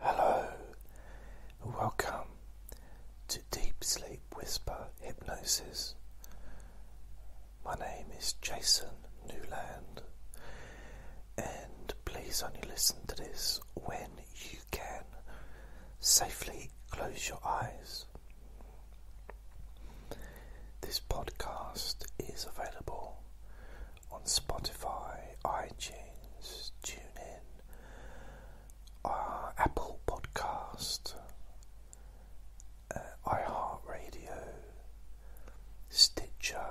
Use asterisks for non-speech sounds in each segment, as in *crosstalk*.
Hello, welcome to Deep Sleep Whisper Hypnosis. My name is Jason Newland, and please only listen to this when you can safely close your eyes. This podcast is available on Spotify, iTunes, TuneIn, uh, Apple Podcast, uh, iHeartRadio, Stitcher,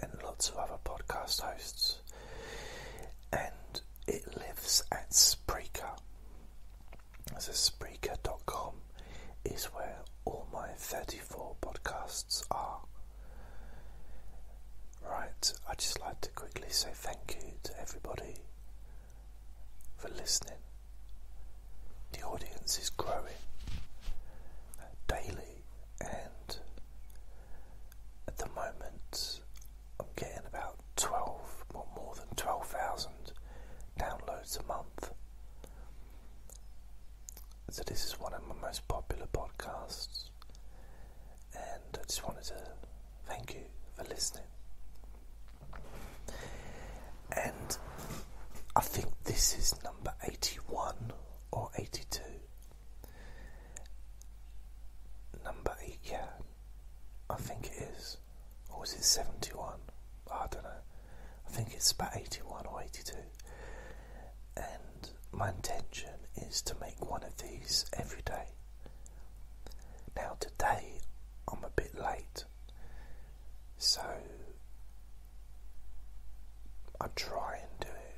and lots of other podcast hosts. And it lives at Spreaker. So Spreaker.com is where all my 30 64 podcasts are. Right, I'd just like to quickly say thank you to everybody for listening. The audience is growing daily, and at the moment, I'm getting about 12, well, more than 12,000 downloads a month. So, this is one of my most popular podcasts, and I just wanted to thank you for listening. And I think this is number 81 or 82. Number 8, yeah, I think it is. Or is it 71? I don't know. I think it's about 81 or 82 and my intention is to make one of these every day. Now, today I'm a bit late, so I try and do it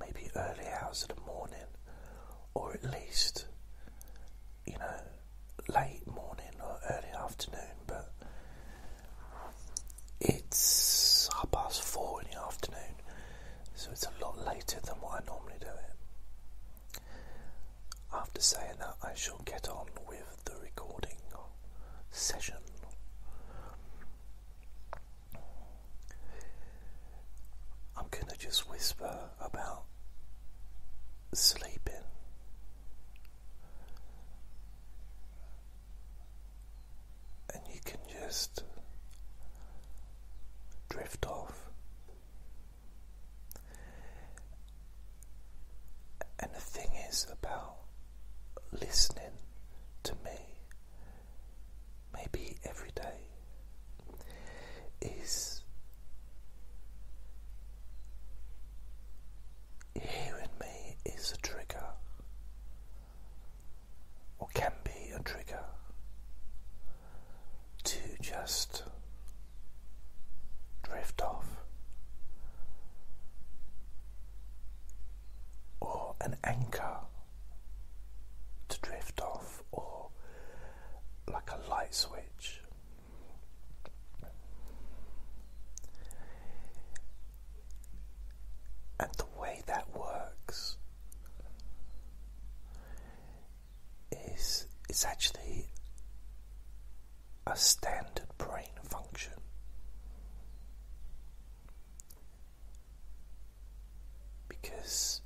maybe early hours of the morning, or at least, you know, late morning or early afternoon, but it's half past four in the afternoon, so it's a lot later than what I normally do it. After saying that, I shall get on with the recording session. I'm going to just whisper about sleeping and you can just drift off. And the thing is about listening to me, maybe every day, is hearing me is a trigger or can be a trigger to just drift off or an anchor to drift off or like a light switch and the way that works is it's actually a standard brain function. Because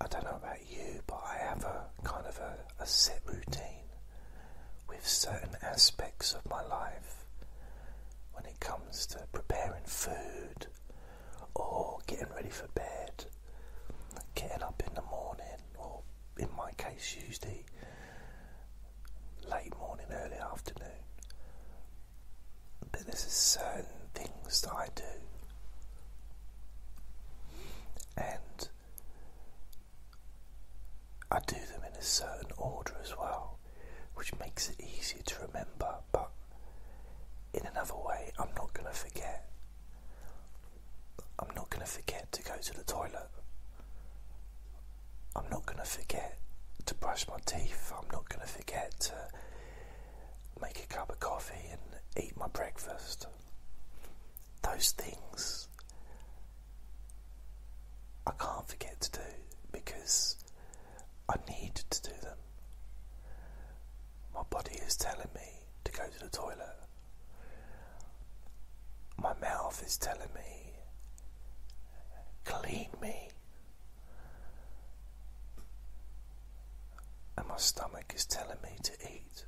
I don't know about you, but I have a kind of a, a set routine with certain aspects of my life when it comes to preparing food or getting ready for bed, getting up in the morning, or in my case, usually late morning, early afternoon. But there's certain things that I do, and I do them in a certain order as well, which makes it easier to remember, but in another way, I'm not going to forget. I'm not going to forget to go to the toilet. I'm not going to forget to brush my teeth. I'm not going to forget to make a cup of coffee and eat my breakfast. Those things I can't forget to do because I need to do them. My body is telling me to go to the toilet. My mouth is telling me, clean me. And my stomach is telling me to eat.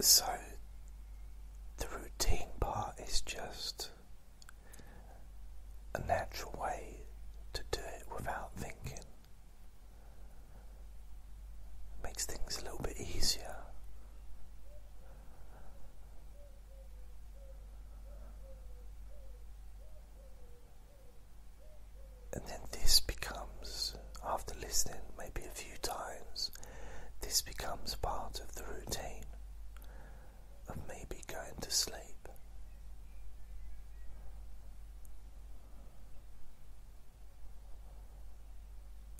So the routine part is just a natural way to do it without thinking. Makes things a little bit easier. And then this becomes, after listening maybe a few times, this becomes part of the routine of maybe going to sleep.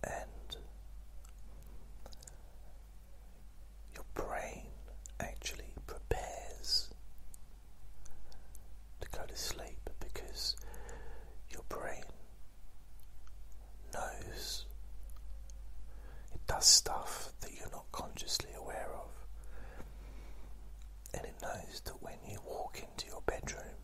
And your brain actually prepares to go to sleep because your brain knows it does stuff that you're not consciously aware of. And it knows that when you walk into your bedroom,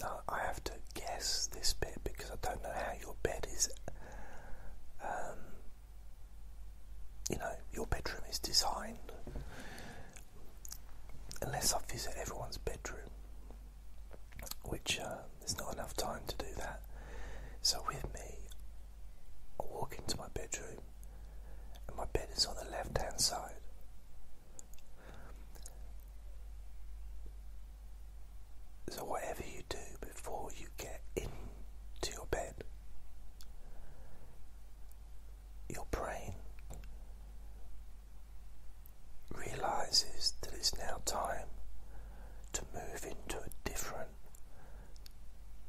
now I have to guess this bit because I don't know how your bed is um, you know, your bedroom is designed. Unless I visit everyone's bedroom, which uh, there's not enough time to do that. So, with me, I walk into my bedroom, and my bed is on the left hand side. So, whatever you do before you get into your bed, your brain realizes that it's now time to move into a different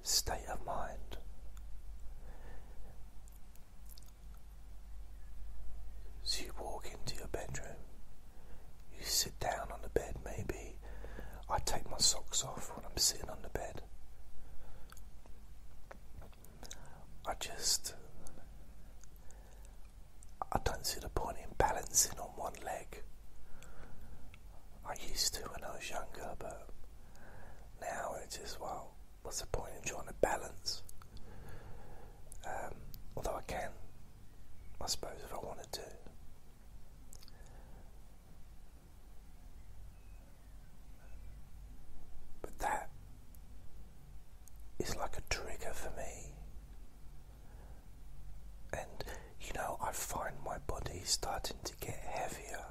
state of mind. So you walk into your bedroom, you sit down on the bed, maybe. I take my socks off when I'm sitting on the bed. I just I don't see the point in balancing on one leg. I used to when I was younger, but now it's just well, what's the point in trying to balance? Um, although I can, I suppose, if I wanted to. But that is like a trigger for me. And you know, I find my body starting to get heavier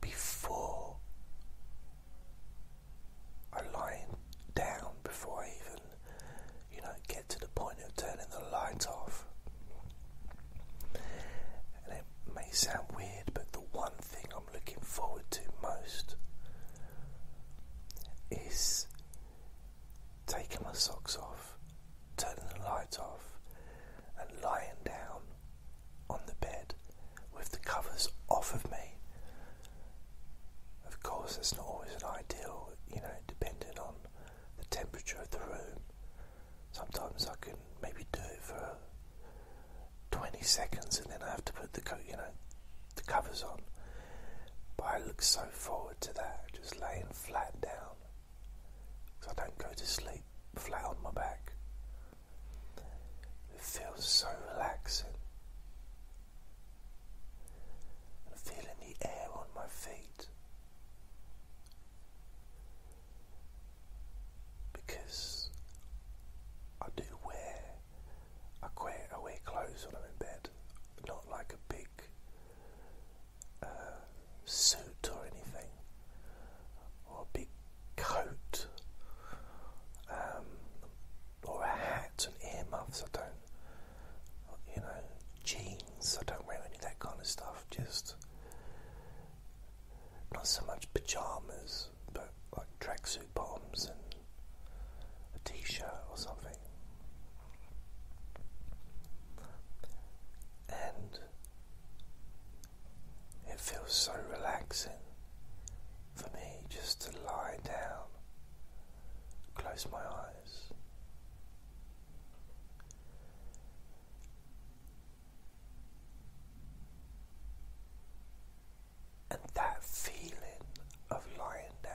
before I lie down, before I even, you know, get to the point of turning the light off. And it may sound weird, but the one thing I'm looking forward to most is taking my socks off, turning the light off, and lying down on the bed with the covers off of me. Of course, that's not always an ideal, you know, depending on the temperature of the room sometimes I can maybe do it for 20 seconds and then I have to put the you know the covers on. But I look so forward to that, just laying flat down. Cause I don't go to sleep flat on my back. It feels so relaxing. I'm feeling the air on my feet because I do wear I wear, I wear clothes when I'm in bed, not like a big uh, suit or anything, or a big coat, um, or a hat and earmuffs. I don't, you know, jeans. I don't wear any of that kind of stuff. Just not so much pajamas, but like tracksuit bottoms and a t shirt or something. And it feels so relaxing for me just to lie down, close my eyes, and that feeling of lying down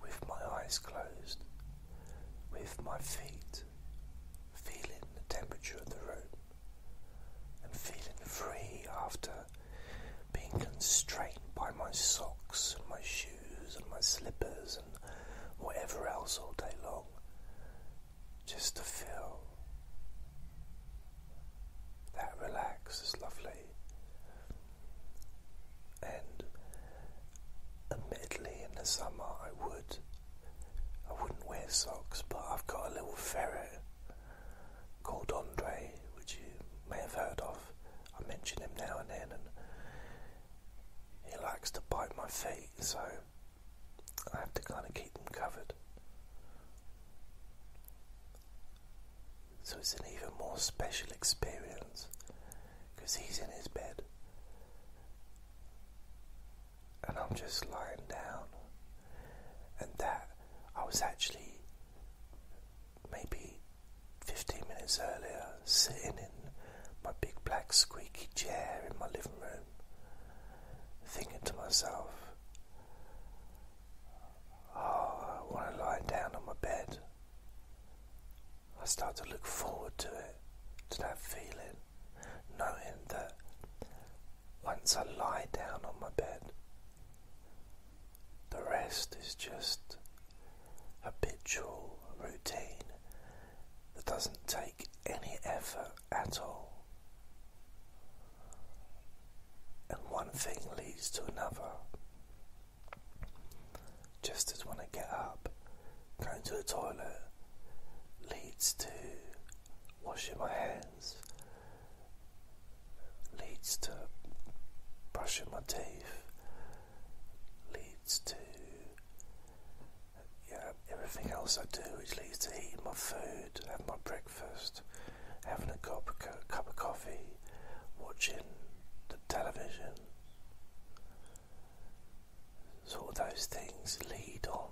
with my eyes closed, with my feet feeling the temperature of the room, and feeling free after being constrained by my socks and my shoes and my slippers whatever else all day long, just to feel that relax is lovely. And admittedly, in the summer, I would, I wouldn't wear socks, but I've got a little ferret called Andre, which you may have heard of. I mention him now and then, and he likes to bite my feet, so I have to kind of keep them covered. So it's an even more special experience because he's in his bed and I'm just lying down. And that I was actually maybe 15 minutes earlier sitting in my big black squeaky chair in my living room, thinking to myself, oh, I want to lie down on my bed. I start to look forward to it, to that feeling, knowing that once I lie down on my bed, the rest is just habitual routine that doesn't take any effort at all. And one thing leads to another. Just as when I get up, going to the toilet leads to washing my hands, leads to brushing my teeth, leads to you everything else I do, which leads to eating my food, having my breakfast, having a cup, a cup of coffee, watching the television. So all those things lead on.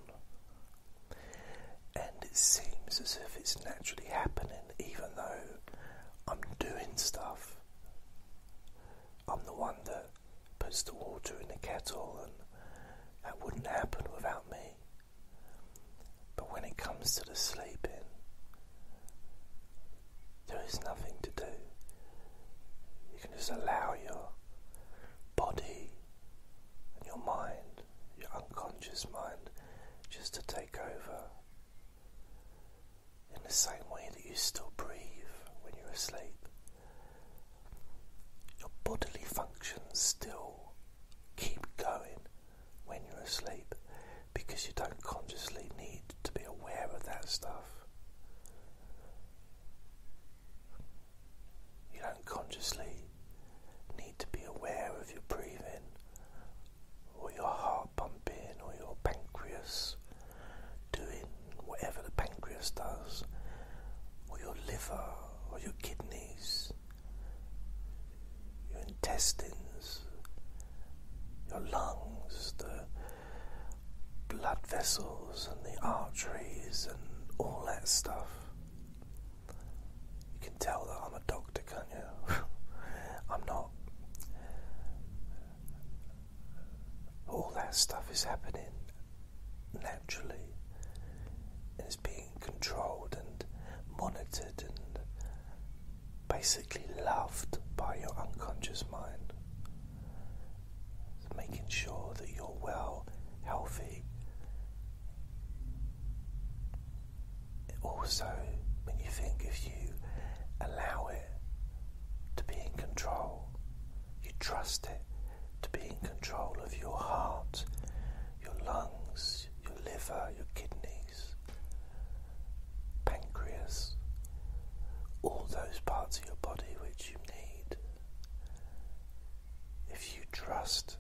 And it seems as if it's naturally happening even though I'm doing stuff. I'm the one that puts the water in the kettle, and that wouldn't happen without me. But when it comes to the sleeping, there is nothing to do. You can just allow your body and your mind, your unconscious mind, just to take over. In the same way that you still breathe when you're asleep, your bodily functions still keep going when you're asleep because you don't consciously need to be aware of that stuff. You don't consciously need to be aware of your breathing or your heart pumping or your pancreas doing whatever the pancreas does, or your liver, or your kidneys, your intestines, your lungs, the blood vessels, and the arteries, and all that stuff. You can tell that I'm a doctor, can't you? *laughs* I'm not all that stuff is happening naturally and is being controlled and monitored and basically loved by your unconscious mind. making sure that you're well, healthy. Also, when you think, if you allow it to be in control, you trust it to be in control of your heart, your lungs, your liver, your kidneys, pancreas, all those parts of your body which you need. If you trust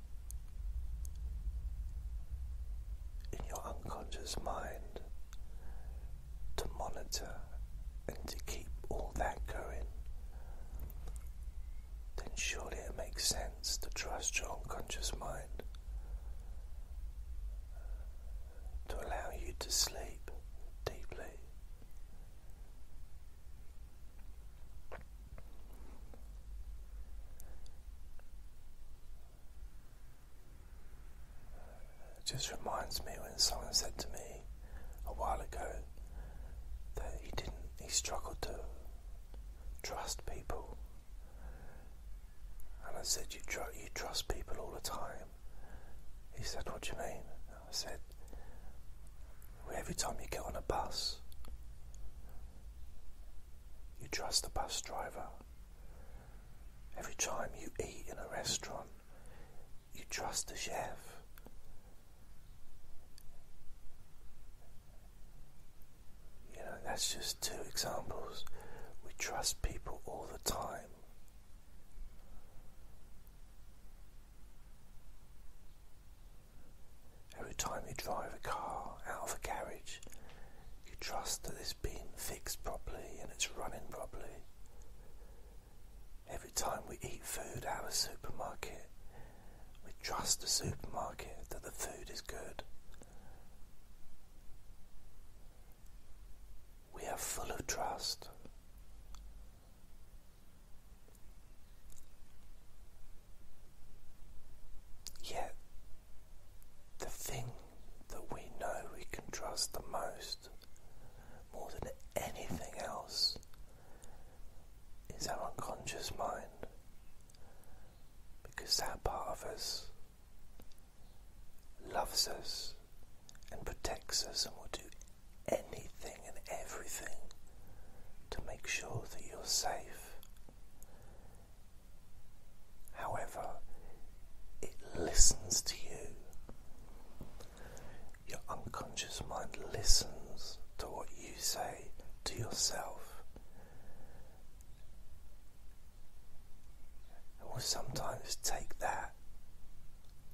in your unconscious mind, to monitor and to keep all that going, then surely it makes sense to trust your unconscious mind to allow you to sleep deeply. It just reminds me when someone said to me a while ago that he didn't, he struggled to trust people. And I said, you, trust people all the time. He said, what do you mean? I said, every time you get on a bus, you trust the bus driver. Every time you eat in a restaurant, you trust the chef. You know, that's just two examples. We trust people all the time. Every time you drive a car out of a garage, you trust that it's been fixed properly and it's running properly. Every time we eat food at a supermarket, we trust the supermarket that the food is good. We are full of trust. Yet, the thing that we know we can trust the most more than anything else, is our unconscious mind. Because that part of us loves us and protects us and will do anything and everything to make sure that you're safe. However, it listens to you. Your unconscious mind listens to what you say to yourself. It will sometimes take that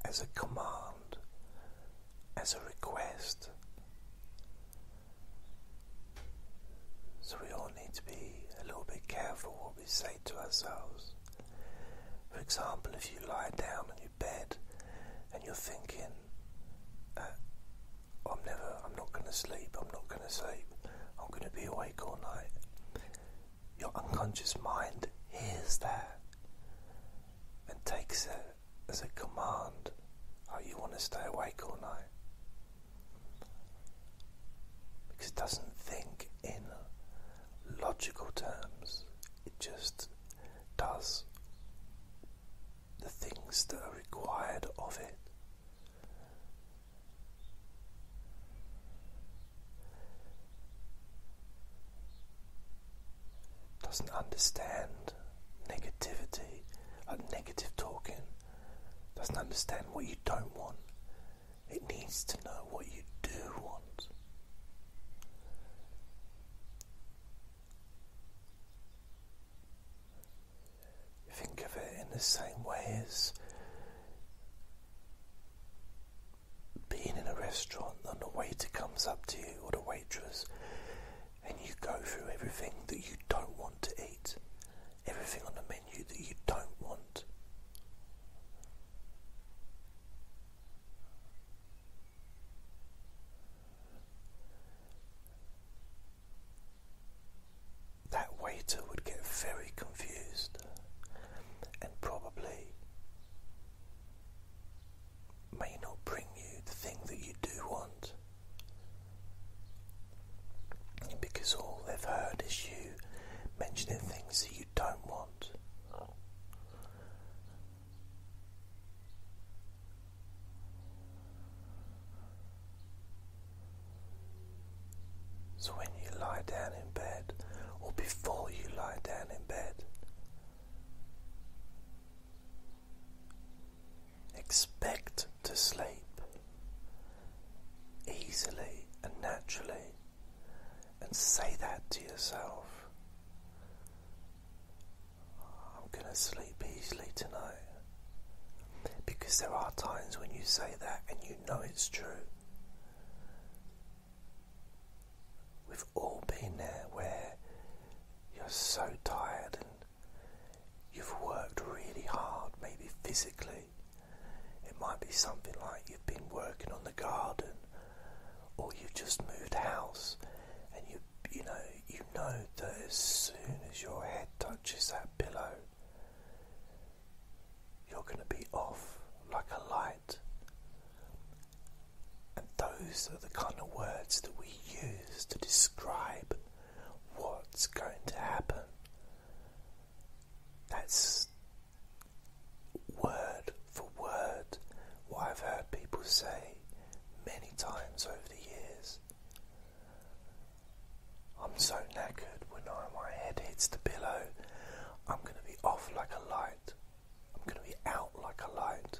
as a command, as a request. So we all need to be a little bit careful what we say to ourselves. For example, if you lie down in your bed and you're thinking, uh, I'm never, I'm not going to sleep, I'm not going to sleep, I'm going to be awake all night, your unconscious mind hears that and takes it as a command. Oh, you want to stay awake all night. Because it doesn't think in logical terms. It just does the things that are required of it. Doesn't understand negativity, like negative talking. Doesn't understand what you don't want. It needs to know what you do want. Think of it in the same way as being in a restaurant and the waiter comes up to you or the waitress and you go through everything that you don't want to eat, everything on the menu that you don't want. That waiter would get very confused and probably may not bring you the thing that you do want because all they've heard is you mentioning things that you don't want. So, when you lie down in bed, or before you lie down in bed, expect to sleep easily and naturally and say that to yourself. I'm going to sleep easily tonight. Because there are times when you say that and you know it's true. We've all been there where you're so tired and you've worked really hard, maybe physically, it might be something like you've been working on the garden or you've just moved house and you you know you know that as soon as your head touches that pillow you're going to be off like a light. And those are the kind of words that we use to describe what's going to happen that's word for word what I've heard people say many times over the years. I'm so knackered when my head hits the pillow, I'm going to be off like a light, I'm going to be out like a light.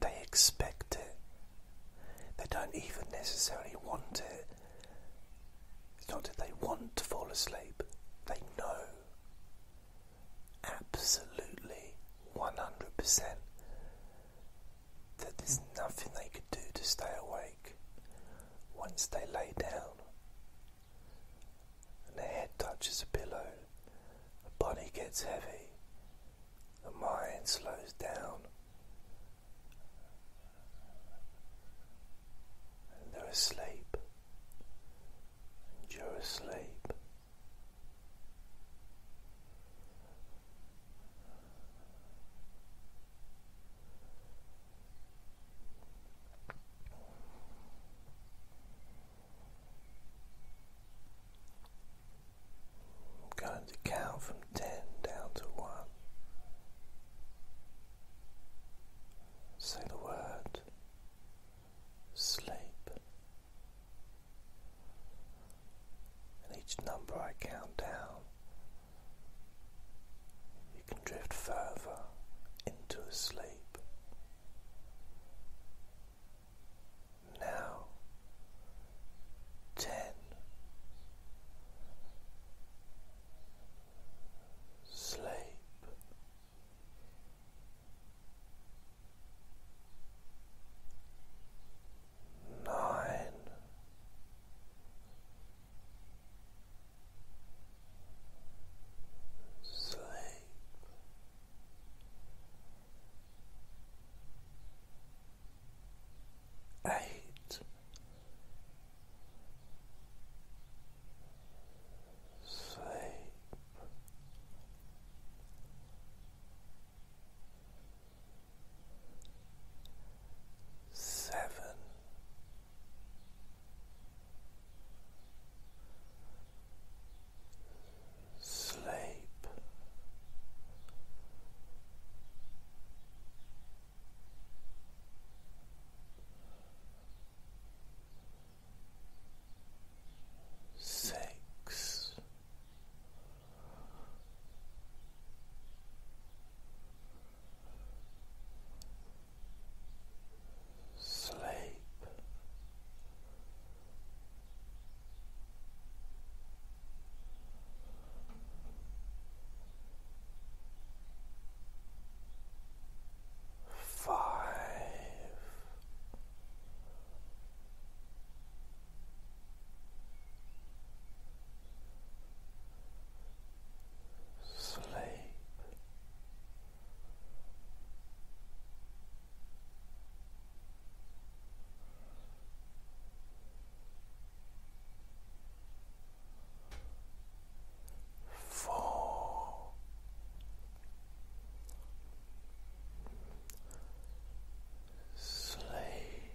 They expect it. They don't even necessarily want it. It's not that they want to fall asleep, they know absolutely 100% that there's nothing they could do to stay awake once they lay down and the head touches the pillow, the body gets heavy, the mind slows down, and they're asleep, you're asleep. I'm going to count from ten down to one. Say the word sleep. And each number I count down, you can drift further into a sleep. Now, ten, sleep. Nine, sleep eight, sleep. Seven, sleep. Six, sleep. Five, sleep. Four. Sleep.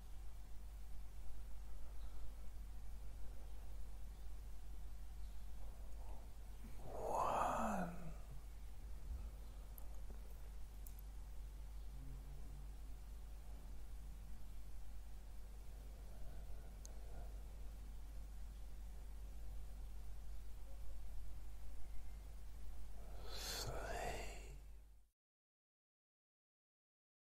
One. Sleep.